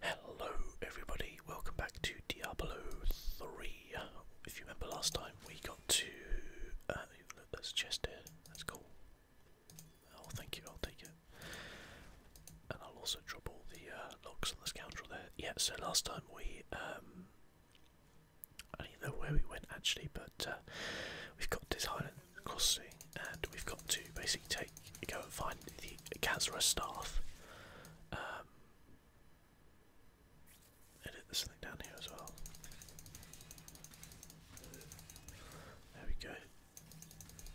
Hello everybody, welcome back to Diablo 3. If you remember last time we got to... Uh, look, there's a that's cool. Oh thank you, I'll take it. And I'll also drop all the uh, locks on the scoundrel there. Yeah, so last time we... Um, I don't even know where we went actually, but uh, we've got this island Crossing, and we've got to basically take go and find the cancerous staff. Um, edit this down here as well. There we go.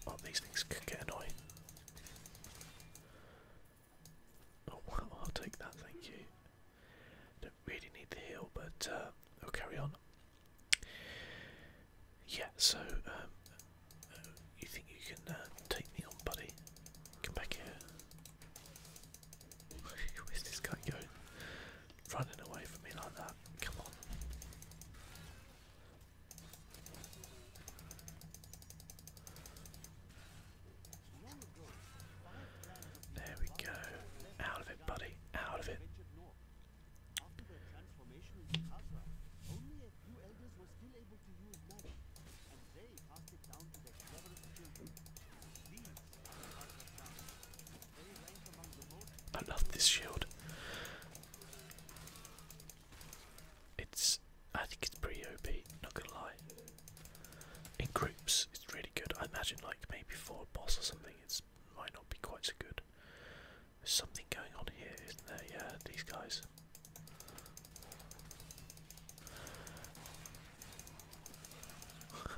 Oh, these things can get annoying. Oh I'll take that, thank you. Don't really need the heal, but i uh, will carry on. Yeah, so um, uh, you think you can uh, take me on, buddy? Come back here. Where's this guy going? Running away from me like that. Come on. There we go. Out of it, buddy. Out of it. After the transformation into Khazra, only a few elders were still able to use magic, and they passed it down to their cleverest children. I love this shield. It's. I think it's pretty OP, not gonna lie. In groups, it's really good. I imagine, like, maybe for a boss or something, it might not be quite so good. There's something going on here, isn't there? Yeah, these guys.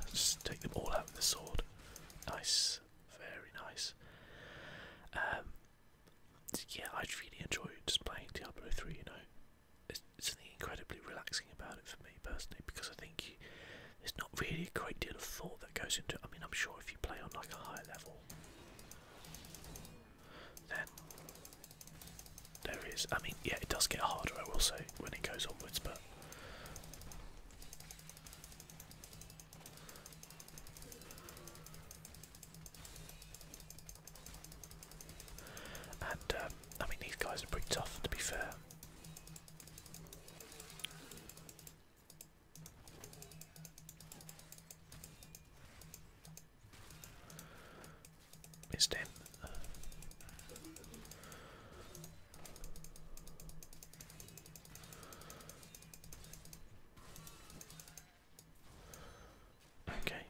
Just take them all out with the sword. Nice, very nice. Um, yeah, I really enjoy just playing Diablo 3, you know. It's, something incredibly relaxing about it for me personally because I think there's not really a great deal of thought that goes into it. I mean, I'm sure if you play on like a higher level, then there is. I mean, yeah, it does get harder. I will say when it goes onwards, but. And um, I mean, these guys are pretty tough, to be fair. Missed Okay,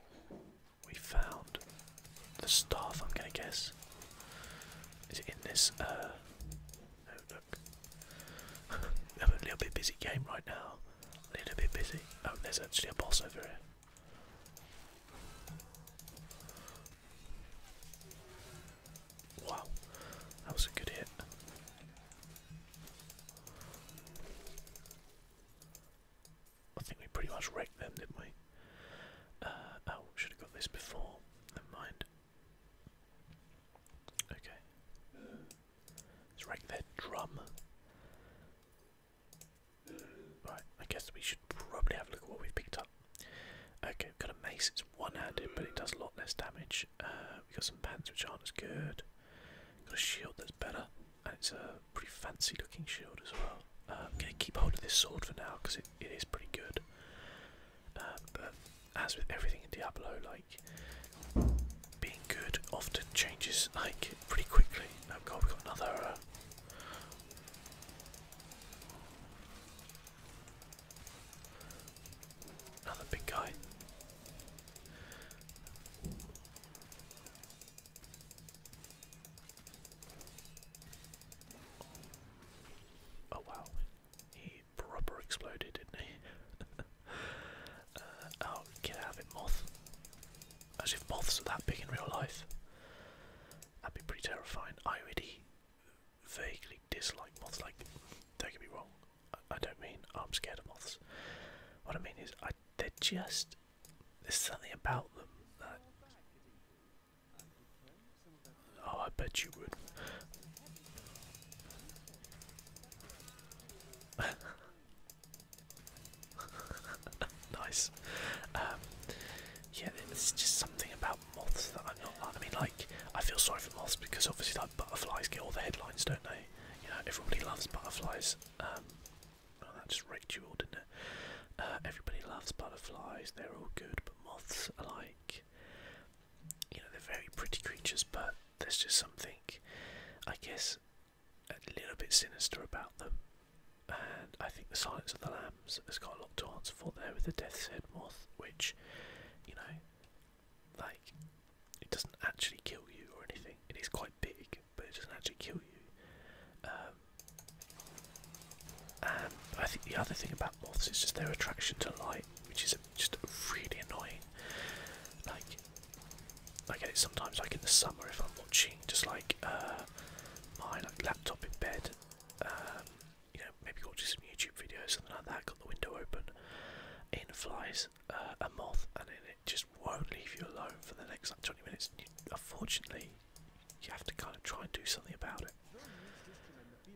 we found the staff. I'm gonna guess. Is in this? Uh, I'm a little bit busy game right now. A little bit busy. Oh, there's actually a boss over here. Wow, that was a good hit. I think we pretty much wrecked them, didn't we? Uh, oh, should have got this before. Never mind. Okay. Let's rank their drum. Right, I guess we should probably have a look at what we've picked up. Okay, got a mace, it's one handed, but it does a lot less damage. Uh, we've got some pants which aren't as good. Got a shield that's better, and it's a pretty fancy looking shield as well. I'm um, going to keep hold of this sword for now because it, it is pretty good. Um, but as with everything in Diablo, like being good often changes like pretty quickly. Oh god, we got another. Uh, another big guy. Oh wow, proper exploded, didn't he? uh, oh, get out of it, moth. As if moths are that big in real life. That'd be pretty terrifying. I already vaguely dislike moths, like, don't get me wrong, I, I don't mean I'm scared of moths. What I mean is, I they're just, there's something about them that Oh, I bet you would. nice. Um, yeah, it's just something about moths that I'm not. Like. I mean, like, I feel sorry for moths because obviously, like, butterflies get all the headlines, don't they? You know, everybody loves butterflies. Um, oh, that just raked didn't it? Uh, everybody loves butterflies, they're all good, but moths are like you know, they're very pretty creatures, but there's just something, I guess, a little bit sinister about them. And I think the Silence of the Lambs has got a lot to answer for there with the Death's Head Moth, which, you know, like, it doesn't actually kill you or anything. It is quite big, but it doesn't actually kill you. Um, I think the other thing about moths, it's just their attraction to light, which is just really annoying. Like, I get it sometimes, like in the summer, if I'm watching just like uh, my laptop in bed, um, you know, maybe watching some YouTube videos, or something like that, got the window open, in flies uh, a moth, and then it just won't leave you alone for the next like 20 minutes. unfortunately, you have to kind of try and do something about it.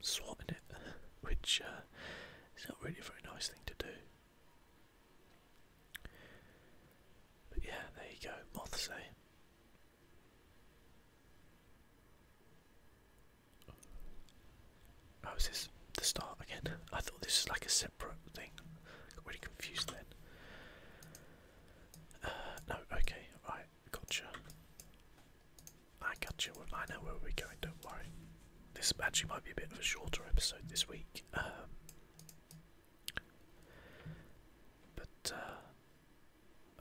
Swapping it, which uh, is not really a very nice thing to do. But yeah, there you go, Moth say, Oh, is this the start again? I thought this was like a separate thing. I got really confused then. Uh, no, okay, right, gotcha. I got you. I know where we're going. Don't worry. This actually might be a bit of a shorter episode this week. Um, but uh,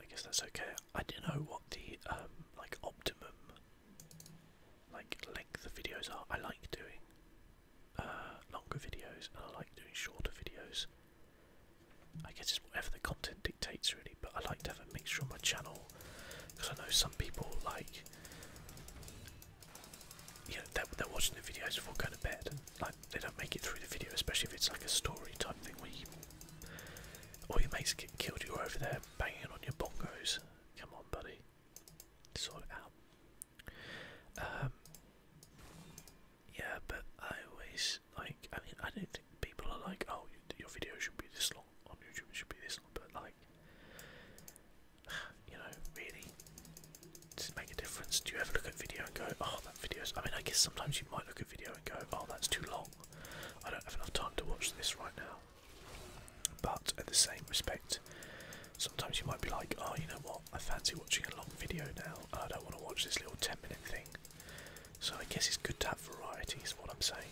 I guess that's okay. I don't know what the um, like optimum like length of videos are. I like doing uh, longer videos and I like doing shorter videos. I guess it's whatever the content dictates really, but I like to have a mixture on my channel because I know some people like you they're, watching the videos before going to bed like they don't make it through the video, especially if it's like a story type thing where you or your mates get killed, you're over there banging on your bongos. Come on, buddy, sort it out. Um, yeah, but I always like. I mean, I don't People are like, oh, your video should be this long on YouTube. It should be this long, but like, you know, really, does it make a difference? Do you ever look at video and go, oh, that video's? I mean, I guess sometimes you might look at video and go, oh, that's too long. I don't have enough time to watch this right now. But at the same respect, sometimes you might be like, oh, you know what? I fancy watching a long video now. I don't want to watch this little ten minute thing. So I guess it's good to have variety, is what I'm saying.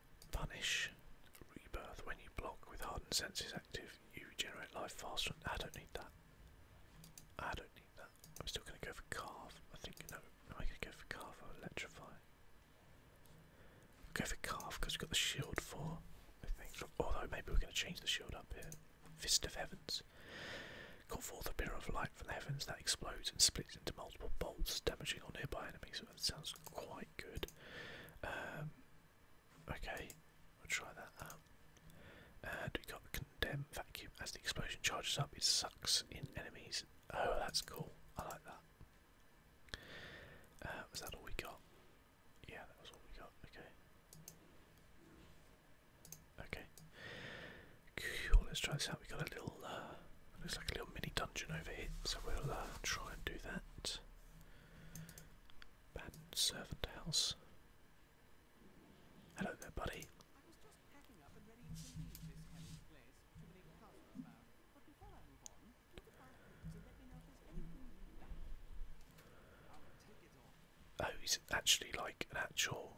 Vanish. Rebirth. When you block with hardened senses active, you regenerate life faster. I don't need that. I don't need that. I'm still going to go for Carve. I think, no, am I going to go for Carve or Electrify? I'll go for Carve because we've got the shield for. I think. Although maybe we're going to change the shield up here. Fist of Heavens. Call forth a pillar of light from the heavens that explodes and splits into multiple bolts, damaging all nearby enemies. So that sounds quite good. Um, okay, we'll try that And we got condemn vacuum as the explosion charges up. It sucks in enemies. Oh, that's cool. I like that. Uh, was that all we got? Yeah, that was all we got. Okay. Okay. Cool. Let's try this out. We got a little. Uh, Looks like a little mini dungeon over here, so we'll uh, try and do that. Bad servant house. I was just know if Oh, he's actually like an actual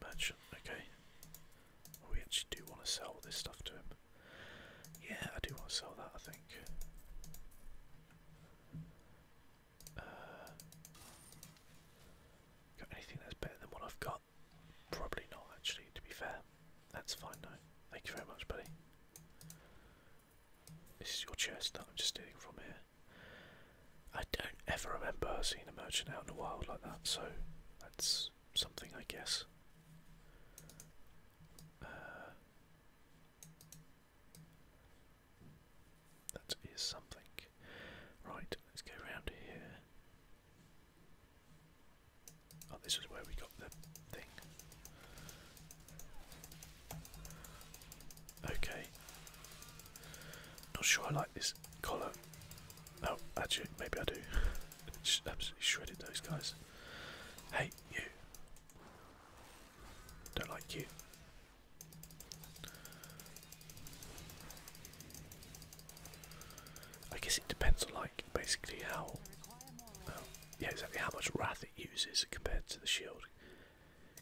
merchant, okay. we actually do want to sell this stuff to him. Yeah, I do want to sell that, I think. Uh, got anything that's better than what I've got? Probably not, actually, to be fair. That's fine, though. Thank you very much, buddy. This is your chest that I'm just stealing from here. I don't ever remember seeing a merchant out in the wild like that, so that's something, I guess. Uh, that is something. Right, let's go round here. Oh, this is where we got the thing. Okay. Not sure I like this color. Oh, actually, maybe I do. Just absolutely shredded those guys. Hey, you. Don't like you. I guess it depends on, like, basically how. yeah, exactly how much wrath it uses compared to the shield.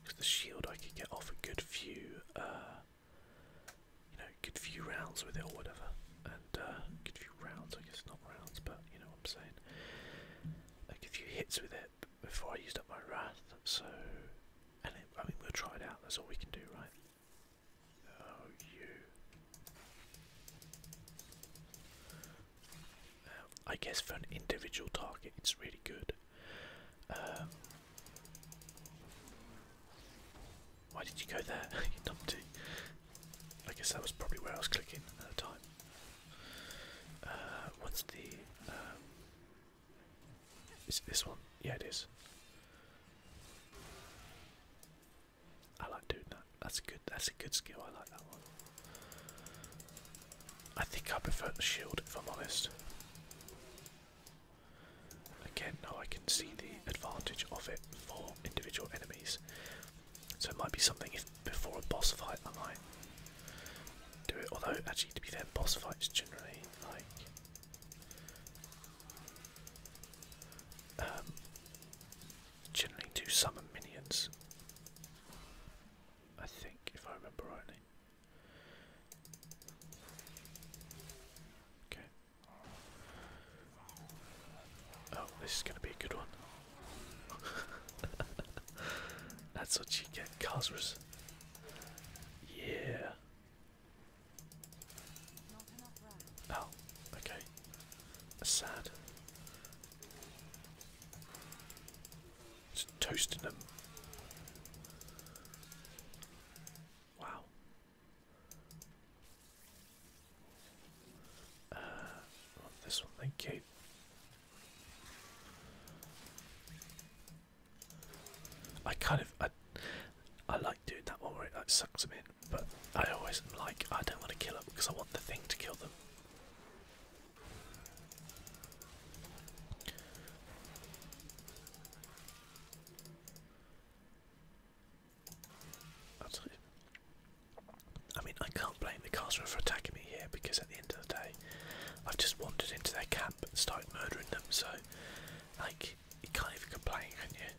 Because the shield, I can get off a good few. Uh, you know, good few rounds with it or whatever. And good uh, few rounds, I guess not rounds, but you know what I'm saying. A few hits with it before I used up my wrath. So, and I mean, we'll try it out. That's all we can do, right? Oh, you. Um, I guess for an individual target, it's really good. Um, why did you go there, I guess that was probably where I was clicking at the time. Uh, what's the... Um, is it this one? Yeah, it is. I like doing that. That's good. That's a good skill. I like that one. I think I prefer the shield, if I'm honest. Again, now I can see the advantage of it for individual enemies. So it might be something if before a boss fight I might do it. Although, actually, to be fair, boss fights generally like. Um, generally do summon minions. I think, if I remember rightly. Okay. Oh, this is gonna be a good one. That's what you get, Cosmos. Yeah. Oh, okay. That's sad. Just toasting them. Wow. Uh, this one, thank you. I kind of, I, I like doing that one where it like sucks them in, but I always am like, I don't want to kill them because I want the thing to kill them. I mean, I can't blame the Carcerer for attacking me here because at the end of the day, I've just wandered into their camp and started murdering them. So, like, you can't even complain, can you?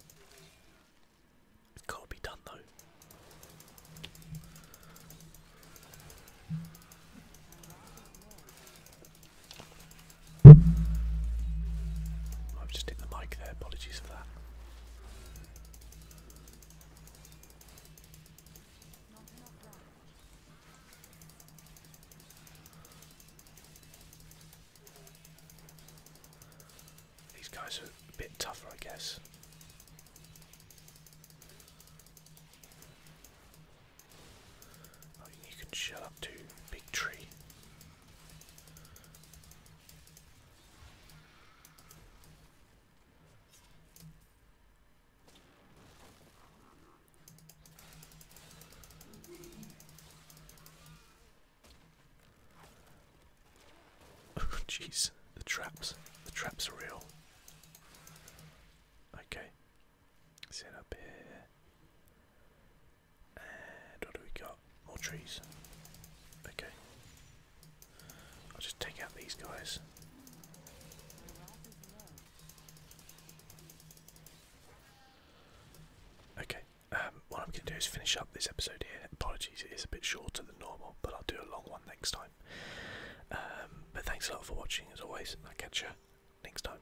It's got to be done though. I've just hit the mic there, apologies for that. These guys are a bit tougher, I guess. Oh, you can shut up to big tree. Jeez, the traps. The traps are real. Okay. Sit up here. And what do we got? More trees. Okay. I'll just take out these guys. Okay, um, what I'm going to do is finish up this episode here. Apologies, it is a bit shorter than normal, but I'll do a long one next time. Um, but thanks a lot for watching, as always, I'll catch you next time.